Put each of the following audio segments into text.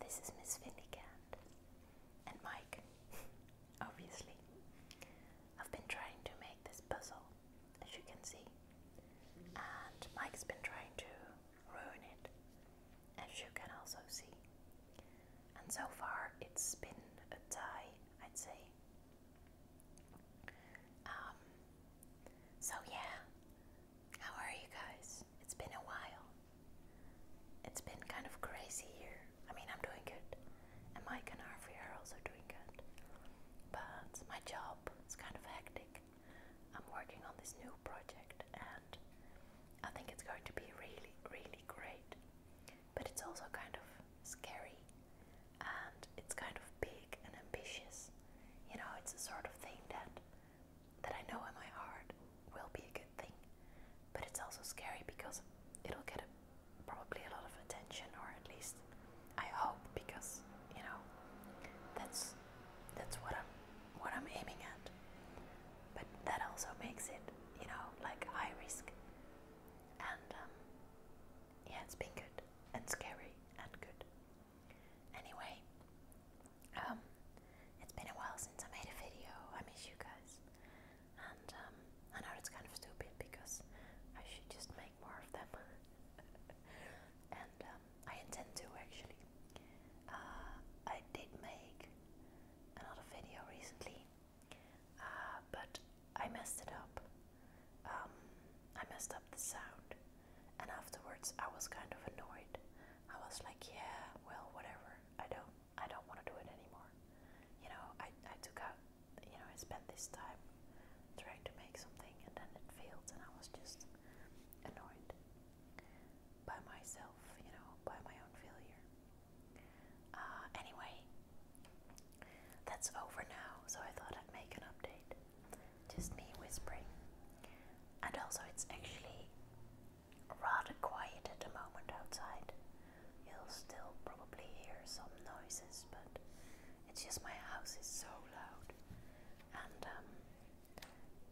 This is Miss Finnegan and Mike, obviously. I've been trying to make this puzzle, as you can see, and Mike's been trying to ruin it, as you can also see. And so far, it's been a tie, I'd say. Um, so, yeah, how are you guys? It's been a while. It's been kind of crazy here. I mean, I'm doing good, and Mike and Harvey are also doing good. But it's my job It's kind of hectic. I'm working on this new project, and I think it's going to be really, really great. But it's also kind of scary, and it's kind of big and ambitious. You know, it's the sort of thing that that I know in my heart will be a good thing. But it's also scary because it'll get a, probably a lot of attention, or at least I hope, because you know that's that's what I'm what I'm aiming at. But that also makes it, you know, like high risk. And um, yeah, it's been good and scary and good. Anyway, um, it's been a while since I made a video. I miss you guys, and um, I know it's kind of stupid because I should just make more of them. and um, I intend to actually. Uh, I did make another video recently, uh, but I messed it up. Um, I messed up the sound. And afterwards, I was kind of annoyed. I was like, yeah, well, whatever. I don't, I don't want to do it anymore. You know, I, I took out, you know, I spent this time trying to make something and then it failed, and I was just annoyed by myself, you know, by my own failure. Uh, anyway, that's over now, so I thought I'd make an update just me whispering. And also, it's actually rather quiet at the moment outside. You'll still probably hear some noises, but it's just my house is so loud. And um,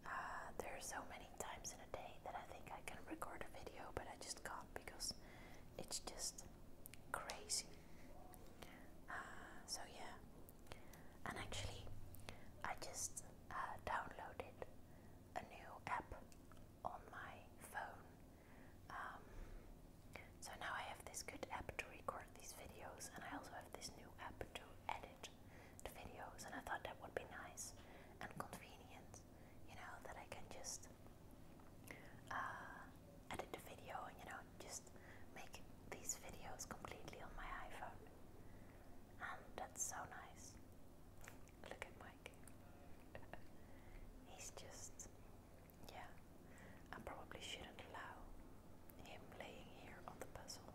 uh, there are so many times in a day that I think I can record a video, but I just can't because it's just crazy. Uh, so, yeah, and actually, I just uh, downloaded a new app on my phone. Um, so now I have this good app to record these videos, and I also have this new app to edit the videos. And I thought that would be nice and convenient, you know, that I can just uh, edit the video and you know just make these videos completely on my iPhone, and that's so nice. Look at Mike. He's just, yeah. I probably shouldn't allow him laying here on the puzzle.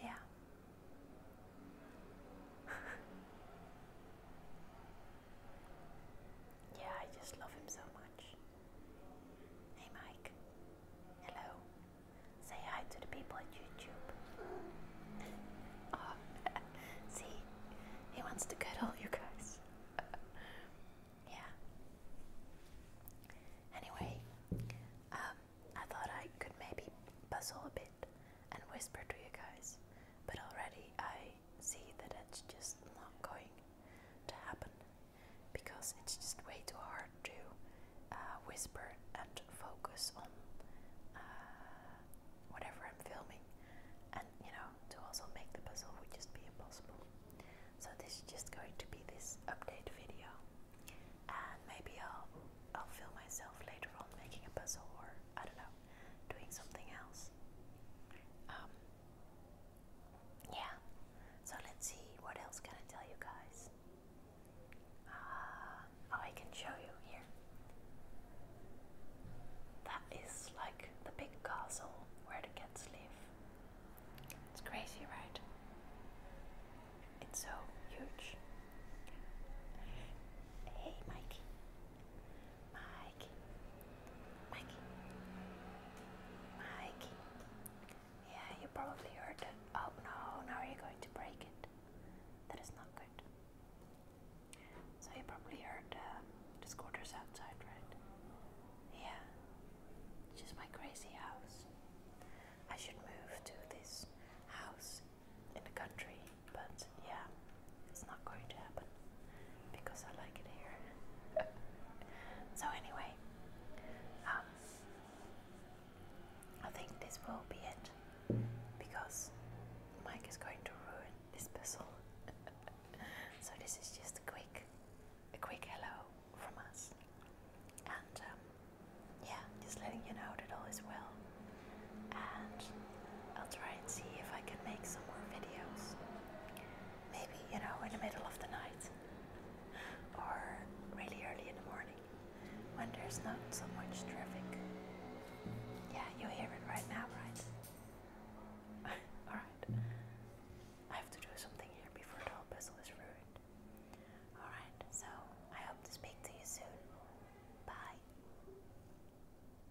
Yeah. yeah, I just love him so much. Hey Mike. Hello. Say hi to the people at YouTube. Oh, see, he wants to cuddle you guys. yeah. Anyway, um, I thought I could maybe puzzle a bit and whisper to you guys, but already I see that it's just not going to happen because it's just way too hard to uh, whisper and focus on uh, whatever I'm filming, and you know, to also make the puzzle would just be impossible. So, this is just going to be this update video, and maybe I'll, I'll film myself later on making a puzzle or I don't know, doing something else. Um, yeah, so let's see what else can I tell you guys. Uh, oh, I can show you here. That is like the big castle where the cats live. It's crazy, right? It's so huge. Hey, Mikey. My Mike, Mike, Mike. Yeah, you probably heard it. Oh no, now you're going to break it. That is not good. So you probably heard uh, the scooters outside, right? Yeah. Just my crazy house. I should move to this house in the country, but yeah, it's not going to happen because I like it here. so anyway, um, I think this will be it because Mike is going to ruin this puzzle. so this is just a quick, a quick hello from us, and um, yeah, just letting you know that all is well and. I'll try and see if I can make some more videos. Maybe, you know, in the middle of the night or really early in the morning when there's not so much traffic. Yeah, you hear it right now, right? Alright. I have to do something here before the whole puzzle is ruined. Alright, so I hope to speak to you soon. Bye.